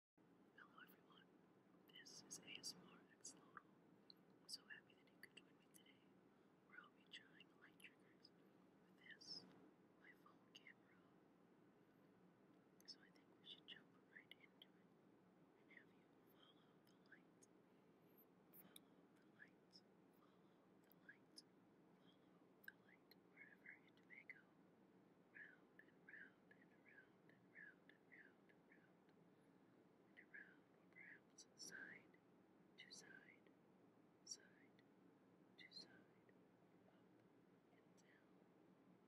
Hello everyone, this is ASMR Xlodal. so happy that you could join me today, where I'll be trying light triggers with this, my phone camera. So I think we should jump right into it and have you follow the light. Follow the light, follow the light, follow the light wherever it may go. Round and round and around and round and round and round and around, or perhaps side to side, side to side, up and down, up and down, side and up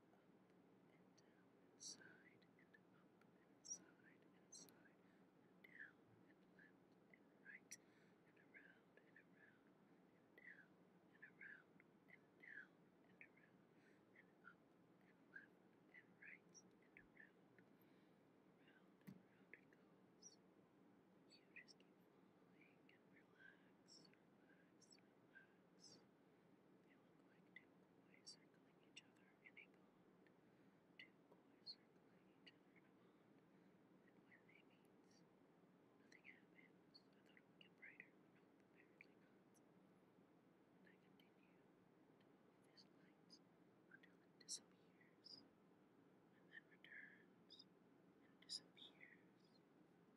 and side and side and down and left and right and around and around and down and around down and around and up and left and right and around. Round and round it goes. You just keep following and relax, relax, relax. They look like two koi circling each other in a pond. Two koi circling each other in a pond. And when they meet, nothing happens. I thought it would get brighter. I continue this light until it disappears, and then returns, and disappears, and returns, and disappears, and returns once more.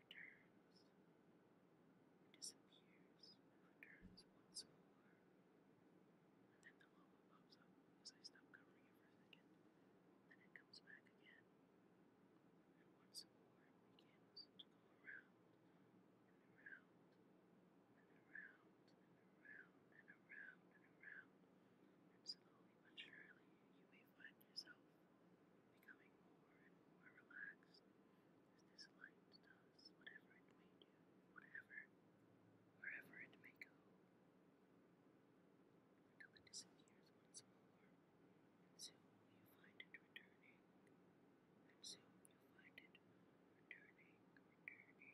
And then the logo pops up as I stop covering it for a second, then it comes back again and once more begins to go around and around and around and around and around and around. slowly but surely, you may find yourself becoming more and more relaxed as this light does whatever it may do, whatever, wherever it may go, until it disappears once more. soon you find it returning Soon you find it returning, returning, returning,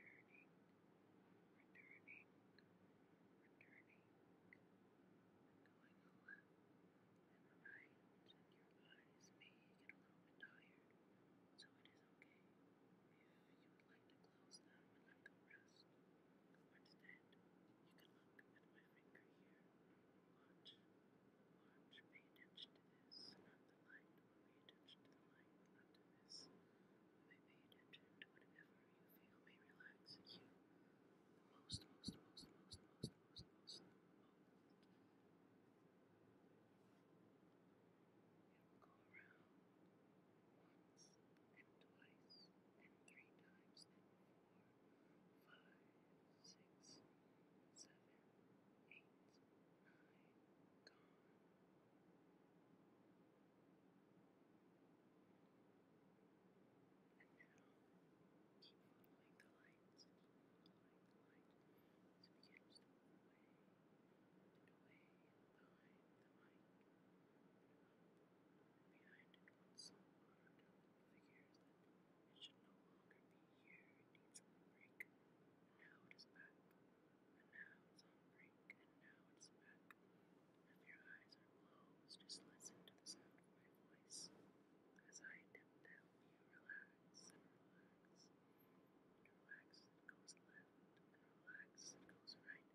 returning, returning, going a and your eyes may get a little tired, so it is okay if you would like to close them and let them rest. Instead, you can look at my finger here. Watch alarm pay attention to this, not the light, pay attention to the light, not this. You attention to whatever you feel may relax you the most, most, most, most, most, most, most, most. It go around once and twice and three times and four five, six, seven, eight, nine, gone. And now keep following the lights, keep following the light as it begins to move away and away behind the mic behind it once so figures that it should no longer be here, it needs a break. Now it is back, and now it's on break, and now it is back. If your eyes are closed, just listen to the sound of my voice as I attempt to help you relax and relax. And relax and goes left, and relax and goes right,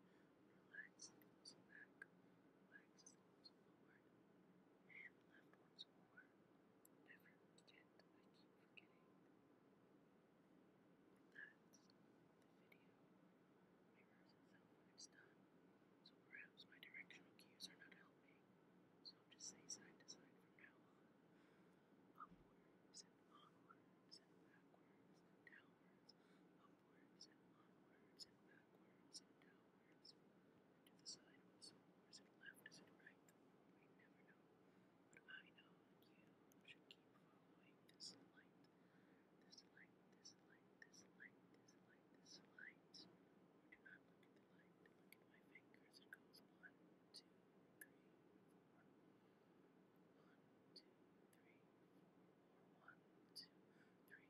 relax and goes back, relax and goes forward, and left once Never forget, I keep forgetting. And the video mirrors itself when it's done. So perhaps my directional cues are not helping. So I'll just say side to side from now on. Upwards and onwards and backwards and downwards. Upwards and onwards and backwards backwards and downwards, to the sideways, or is it left, is it right, we never know. But I know you should keep following this light, this light, this light, this light, this light, this light. Or look at the light, look at my fingers, it goes one, two, three, four. One, two, three, four, one, two, three,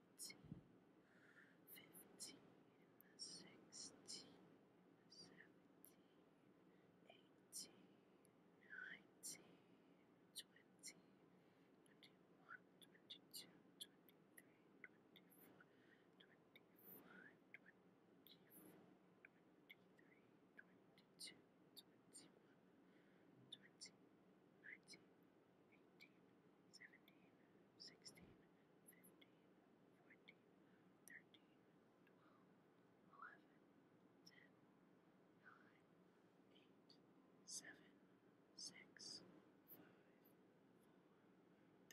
fourteen, fifteen, sixteen, seventeen, eighteen, nineteen, twenty, twenty-one, twenty-two, twenty-three, twenty-four, twenty-five, twenty-four, twenty-three, twenty-two, twenty-one, twenty, nineteen. 20, 21, 22, 23, 24, 25, 26, 27, 28, 29, 30, 31, eighteen, seventeen, sixteen, fifteen, fourteen, thirteen, twelve, eleven, ten, nine, eight, seven, six, five, four, three, two, one.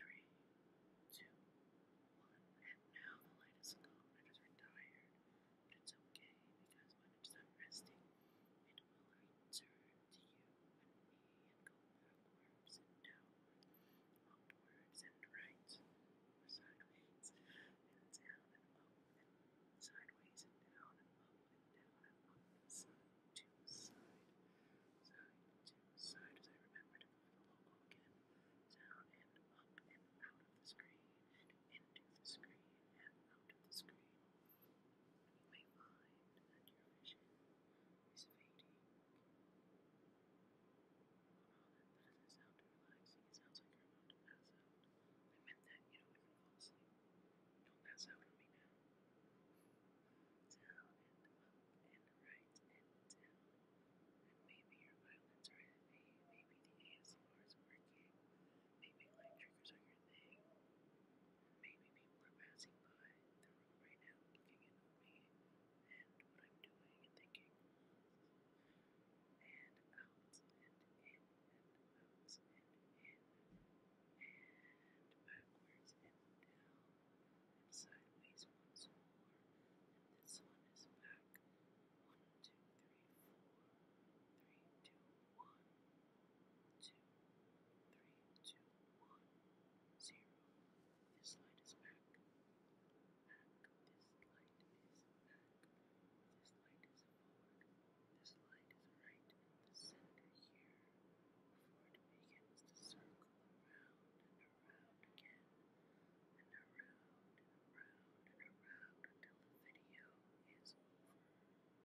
And now the light is gone. I just retired. it's okay because when it's done resting, it will return to you and me and go upwards and downwards, upwards and right, or sideways and down and up and sideways and down and up and down and up and side to side, side to side as I remember to move again, down and up and out of the screen into the screen and out of the screen you may find that your vision is fading. Oh, that, doesn't sound relaxing. It sounds like you're about to out. I meant that you don't fall asleep. Don't pass out on me now. Down and up and right and down. And maybe your violins are heavy. Maybe the ASMR is working. Maybe light triggers are everything. Maybe people are passing by the room right now looking in me and what I'm doing and thinking. And out and in and out and in and backwards and down and sideways once more. And this one is back. One, two, three, four, three, two, one two, three, two, one, zero. This light is back. Back. This light is back. This light is forward. This light is right in the center here. Before it begins to circle around and around again. And around and around and around until the video is over.